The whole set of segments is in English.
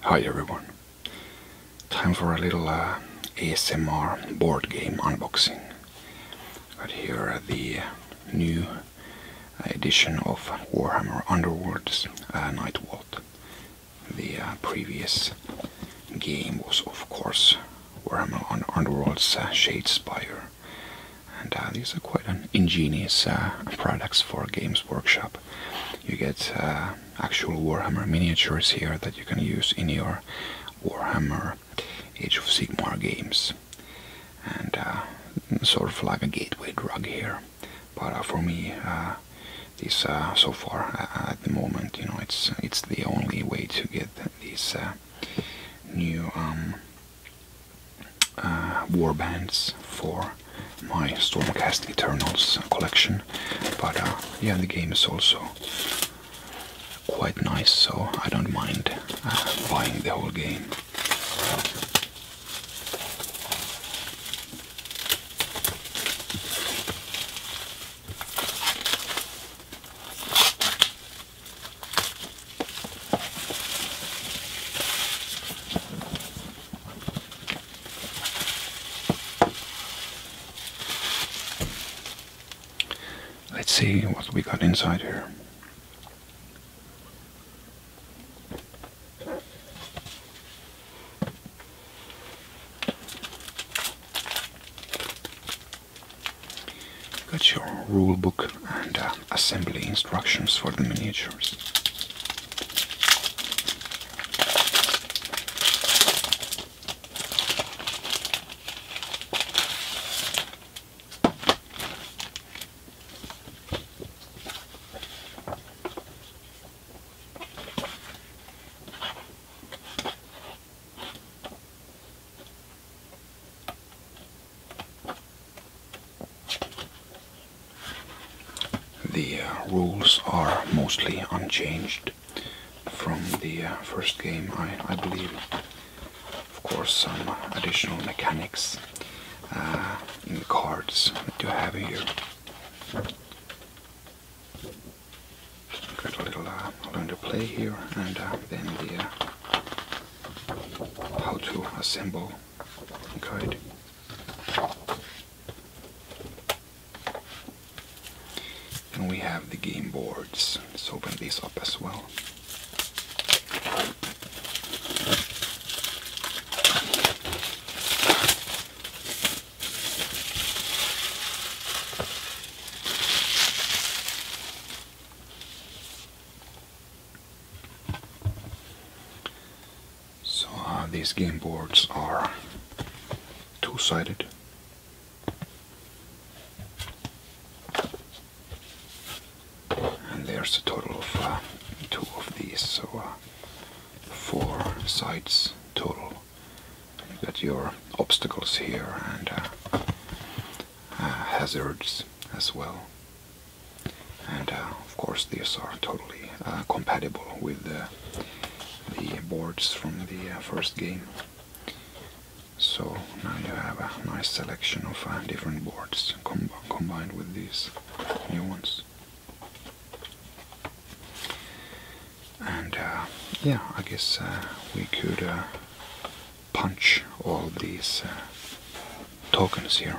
Hi everyone. Time for a little uh, ASMR board game unboxing. Got here are the uh, new edition of Warhammer Underworld's uh, Nightwalt. The uh, previous game was of course Warhammer Underworld's uh, Shadespire. And these are quite ingenious products for Games Workshop. You get uh, actual Warhammer miniatures here that you can use in your Warhammer Age of Sigmar games. And uh, sort of like a gateway drug here. But uh, for me, this so far at the moment, you know, it's it's the only way to get these new um, uh, warbands for my Stormcast Eternals collection, but uh, yeah, the game is also quite nice, so I don't mind uh, buying the whole game. Let's see what we got inside here. Got your rule book and uh, assembly instructions for the miniatures. The uh, rules are mostly unchanged from the uh, first game, I, believe. Of course, some additional mechanics uh, in the cards that you have here. Got a little learn to play here, and then the how to assemble Good. And we have the game boards. Let's open these up as well. So uh, these game boards are two-sided. And there's a total of uh, two of these, so uh, four sides total. You've got your obstacles here and hazards as well and uh, of course these are totally uh, compatible with the, boards from the uh, first game so now you have a nice selection of different boards combined with these new ones and yeah I guess we could punch all these tokens here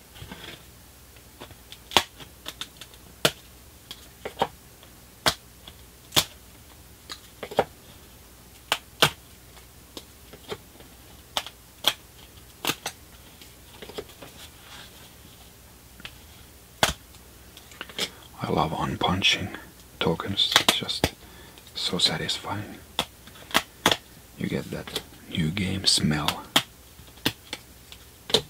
I love unpunching tokens, it's just so satisfying. You get that new game smell.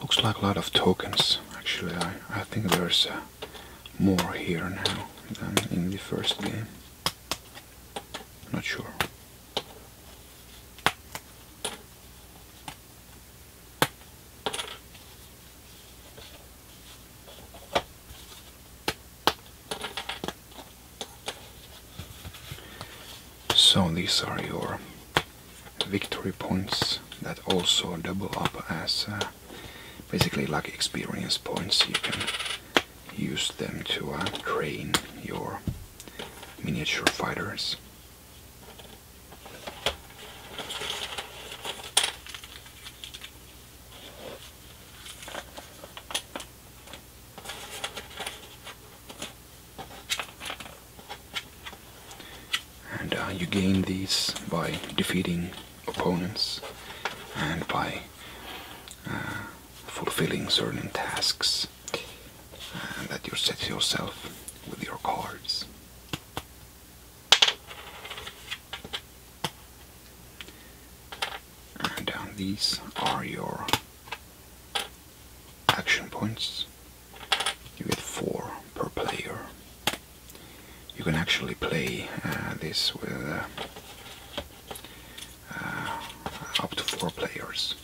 Looks like a lot of tokens. Actually, I, I think there's uh, more here now than in the first game. Not sure. So these are your victory points that also double up as uh, basically like experience points you can use them to uh, train your miniature fighters. And uh, you gain these by defeating opponents and by uh, fulfilling certain tasks that you set yourself with your cards. And um, these are your action points. You get four per player. You can actually play uh, this with uh, uh, up to four players.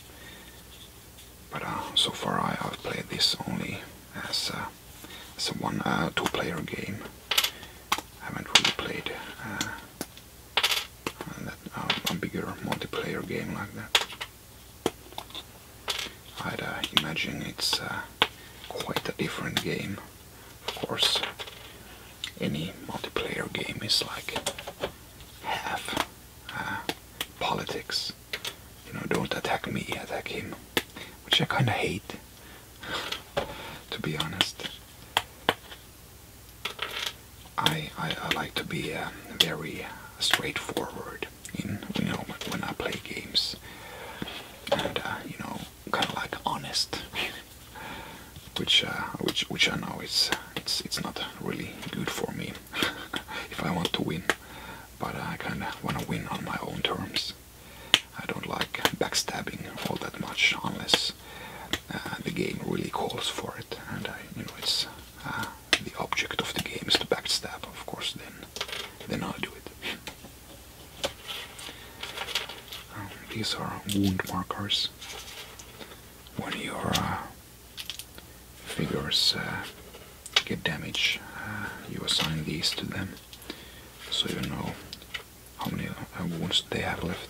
But uh, so far I have played this only as a, uh, as a one uh, two player game. I haven't really played a bigger multiplayer game like that. I'd imagine it's quite a different game, of course any multiplayer game is like half uh, politics. You know, don't attack me, attack him. Which I kinda hate, to be honest. I, I, like to be uh, very straightforward in, you know, when I play games. And, uh, you know, kinda like honest. which uh, which which I know is, it's it's not really good for me if I want to win, but I kind of want to win on my own terms. I don't like backstabbing all that much unless uh, the game really calls for it, and I, you know it's uh, the object of the game is to backstab, of course. Then then I'll do it. Um, these are wound markers when your uh, figures uh, get damaged, uh, you assign these to them so you know how many wounds they have left.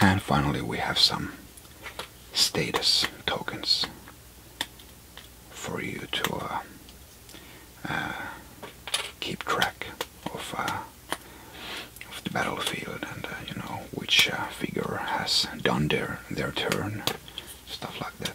And finally we have some status tokens for you to uh, uh, keep track uh, of the battlefield and uh, you know which uh, figure has done their their turn, stuff like that.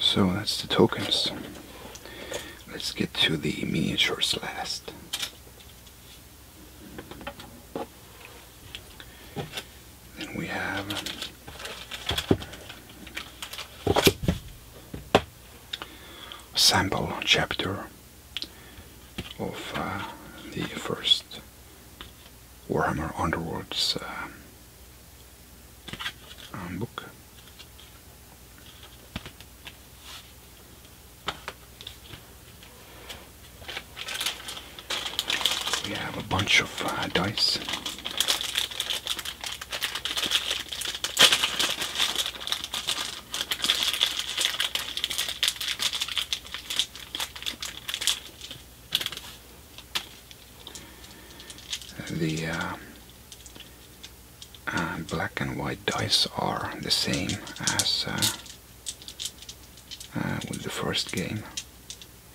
So that's the tokens. Let's get to the miniatures last. Then we have sample chapter of uh, the first Warhammer Underworlds uh, um, book. We have a bunch of uh, dice. The uh, uh, black and white dice are the same as uh, with the first game.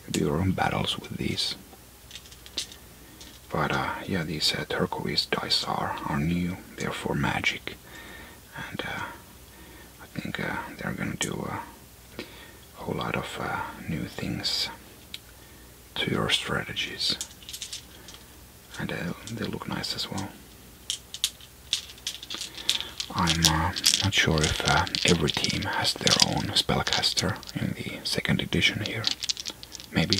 You do your own battles with these. But yeah, these turquoise dice are, are new, therefore magic and uh, I think uh, they're gonna do a whole lot of uh, new things to your strategies and they look nice as well. I'm not sure if every team has their own spellcaster in the second edition here, maybe.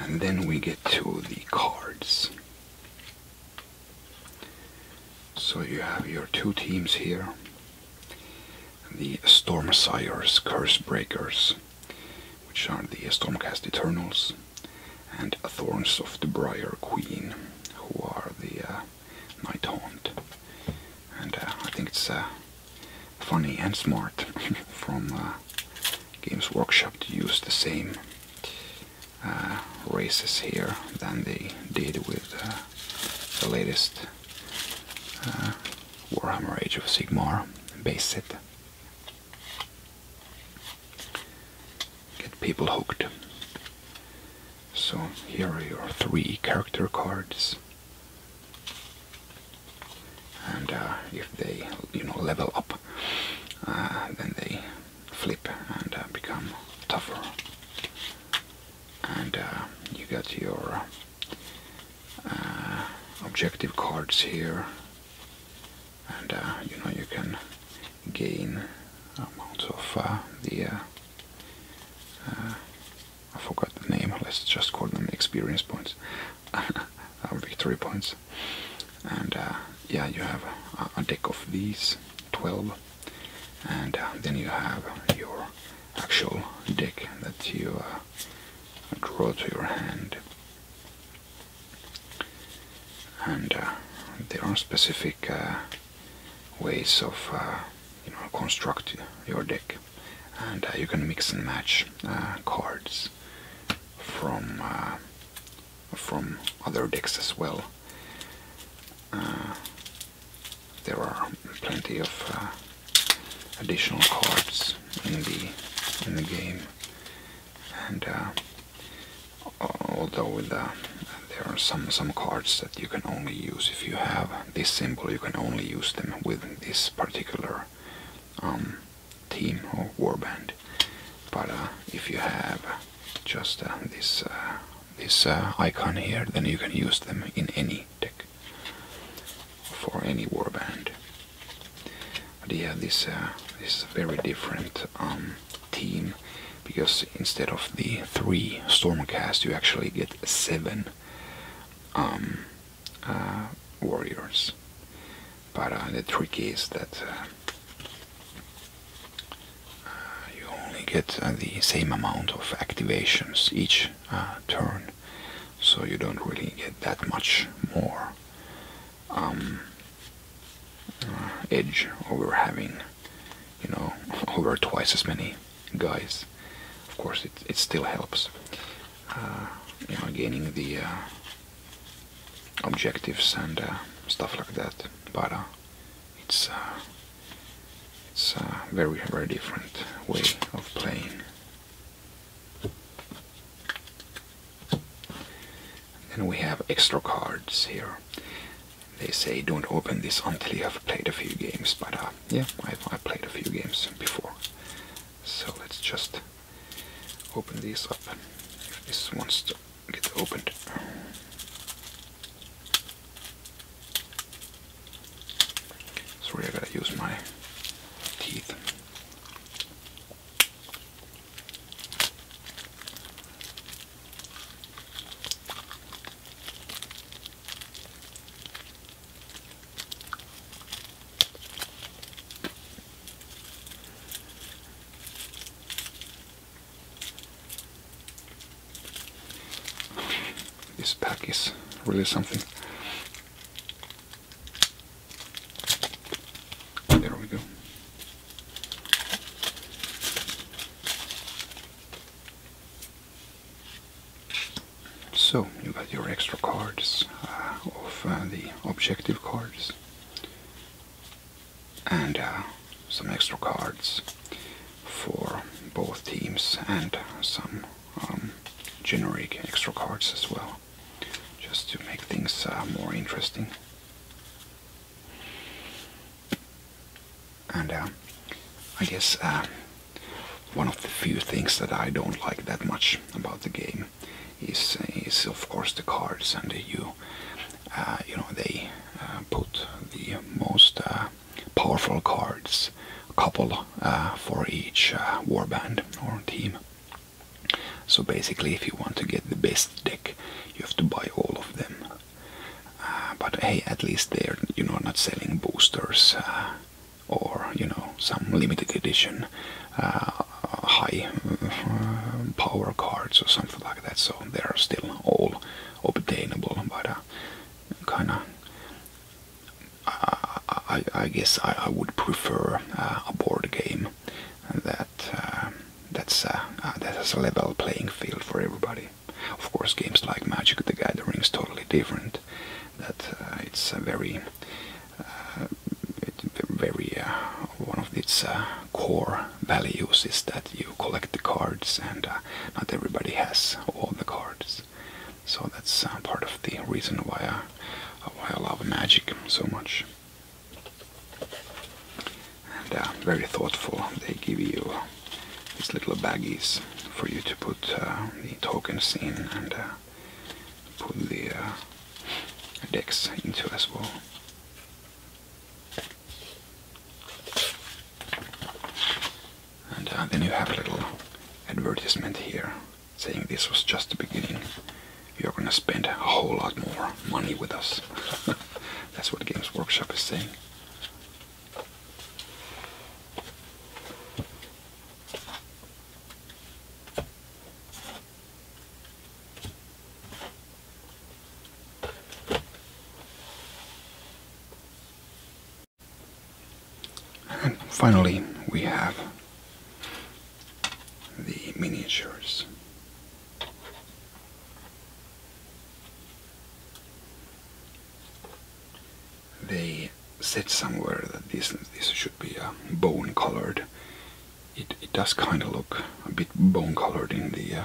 And then we get to the cards. So you have your two teams here. The Storm Curse Breakers, which are the Stormcast Eternals, and Thorns of the Briar Queen, who are the uh, Night Haunt. And uh, I think it's uh, funny and smart from uh, Games Workshop to use the same uh, races here than they did with uh, the latest Warhammer Age of Sigmar base set. Get people hooked. So here are your three character cards and uh, if they you know level up uh, then they flip and uh, become tougher and you got your objective cards here and you know you can gain amounts of the I forgot the name, let's just call them experience points, victory points. And uh, yeah, you have a, deck of these 12, and uh, then you have your actual deck that you uh, draw to your hand. And there are specific ways of uh, you know construct your deck and uh, you can mix and match uh, cards from uh, from other decks as well. there are plenty of additional cards in the in the game, and although there are some some cards that you can only use if you have this symbol you can only use them with this particular um, team or warband. But uh, if you have just uh, this uh, this icon here, then you can use them in any deck for any warband. But yeah, this this is a very different um, team because instead of the three stormcast, you actually get seven um, uh, warriors. But uh, the trick is that uh, you only get the same amount of activations each turn, so you don't really get that much more um, edge over having, you know, over twice as many guys. Of course, it, it still helps. Uh, you know, gaining the uh, objectives and uh, stuff like that. But it's it's a very very different way of playing. Then we have extra cards here. They say don't open this until you have played a few games, but yeah, I, played a few games before. So let's just open this up. If this wants to get opened. Sorry, I gotta use my teeth. This pack is really something. There we go. So you got your extra cards uh, of uh, the objective cards and uh, some extra cards for both teams and some um, generic extra cards as well just to make things more interesting and uh, I guess uh, one of the few things that I don't like that much about the game is is of course the cards, and you uh, you know they put the most powerful cards, couple for each warband or team. So basically, if you want to get the best deck, you have to buy all of them. Uh, but hey, at least they're you know not selling boosters uh, or you know some limited edition uh, high power cards or something like that. So they are still all obtainable, but kind of. I, guess I, would prefer a board game that that's that has a level playing field for everybody. Of course, games like Magic the Gathering is totally different. That uh, it's a very, uh, very uh, one of its core values is that you collect the cards, and not everybody has all the cards. So that's part of the reason why I, love Magic so much. And uh, very thoughtful. They give you these little baggies for you to put uh, the tokens in and uh, put the uh, decks into as well. And then you have a little advertisement here saying this was just the beginning. You're gonna spend a whole lot more money with us. That's what Games Workshop is saying. And finally, we have the miniatures. They said somewhere that this this should be a uh, bone colored. It does kind of look a bit bone colored in the uh,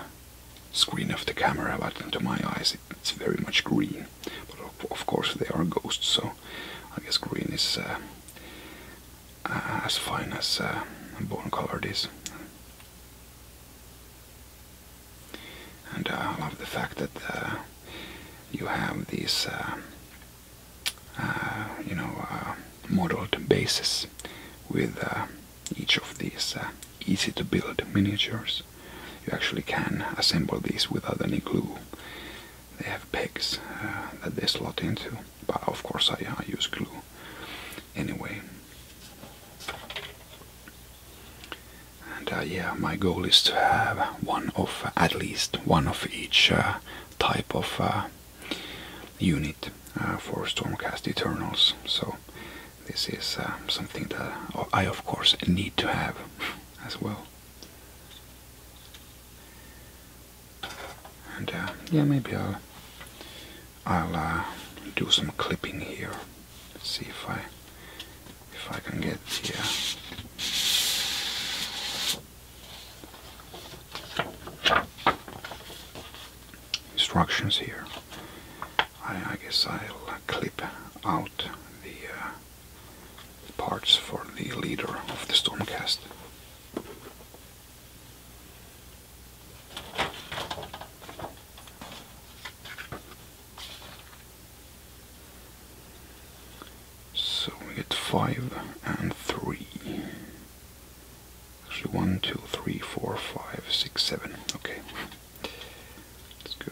screen of the camera, but to my eyes it's very much green. But of, course they are ghosts, so I guess green is uh, as fine as bone colored is. And uh, I love the fact that uh, you have these, uh, you know, uh, modeled bases with each of these easy to build miniatures. You actually can assemble these without any glue. They have pegs that they slot into, but of course I use glue anyway. And uh, yeah, my goal is to have one of at least one of each uh, type of uh, unit for Stormcast Eternals. So this is something that I of course need to have as well. And yeah, maybe I'll I'll uh, do some clipping here. see if I if I can get here. Instructions here. I, guess I'll clip out the uh, parts for the leader of the Stormcast. So we get five and three. Actually, one, two, three, four, five, six, seven. Okay. Let's go.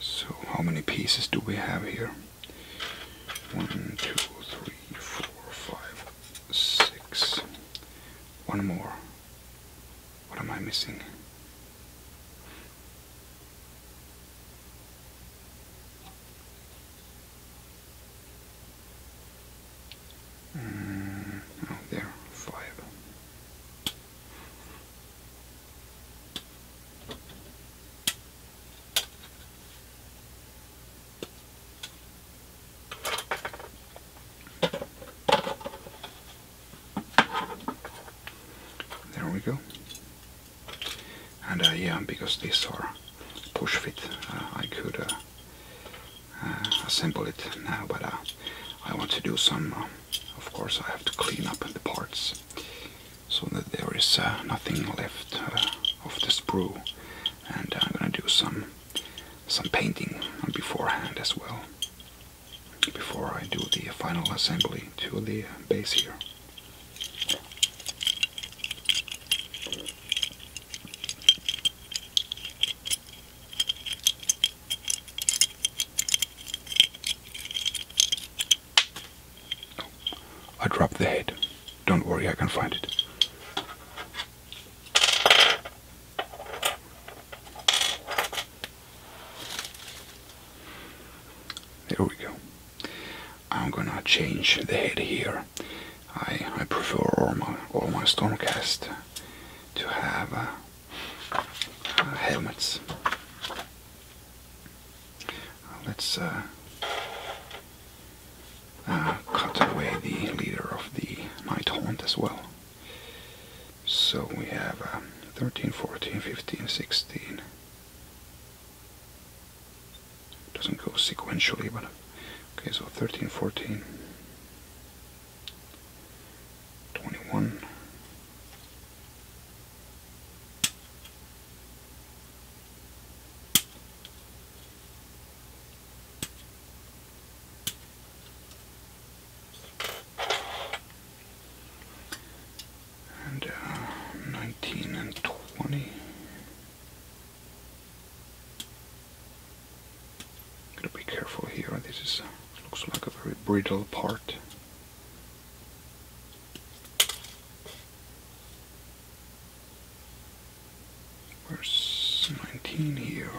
So, how many pieces do we have here? One, two, three, four, five, six. One more. What am I missing? Mm, oh, there, five. There we go. And uh, yeah, because these are push fit, uh, I could uh, assemble it now, but I want to do some. of course, I have to clean up the parts so that there is uh, nothing left uh, of the sprue and uh, I'm gonna do some some painting beforehand as well before I do the final assembly to the base here. I dropped the head. Don't worry, I can find it. There we go. I'm gonna change the head here. I, I prefer all my, all my Stormcast to have uh, uh, helmets. Let's uh, uh, cut away the leader of the Night Haunt as well. So we have um, 13, 14, 15, 16. Doesn't go sequentially, but okay, so 13, 14, 21. And uh, 19 and 20. Gotta be careful here. This is, uh, looks like a very brittle part. Verse 19 here?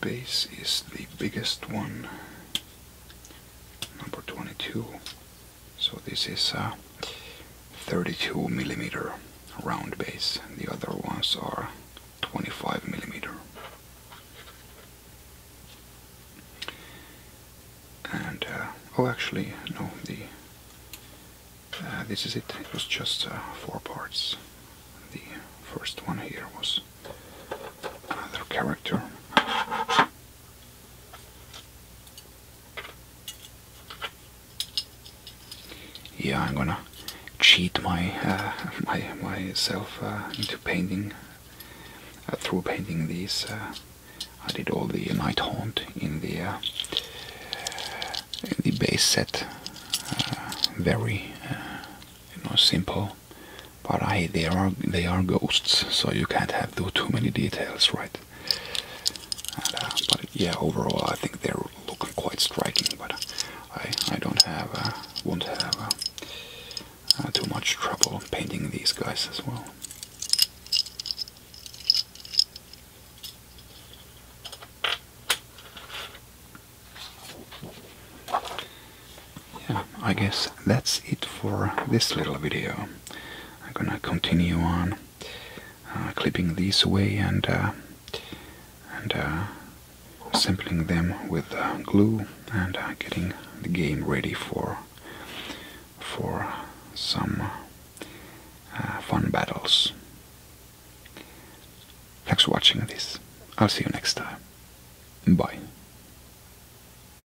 Space is the biggest one. Number 22. So this is a 32 millimeter round base. The other ones are 25 millimeter. And uh, oh, actually, no. The uh, this is it. It was just uh, four parts. The first one here was another character. Yeah, I'm gonna cheat my uh, my myself uh, into painting uh, through painting these. I did all the night haunt in the in the base set. very you know simple, but I they are they are ghosts, so you can't have do too many details, right? Uh, but yeah, overall I think they're looking quite striking, but I I don't have uh, won't have uh, uh, too much trouble painting these guys as well. Yeah, I guess that's it for this little video. I'm gonna continue on uh, clipping these away and and uh, uh sampling them with uh, glue and getting the game ready for for some fun battles. Thanks for watching this. I'll see you next time. Bye.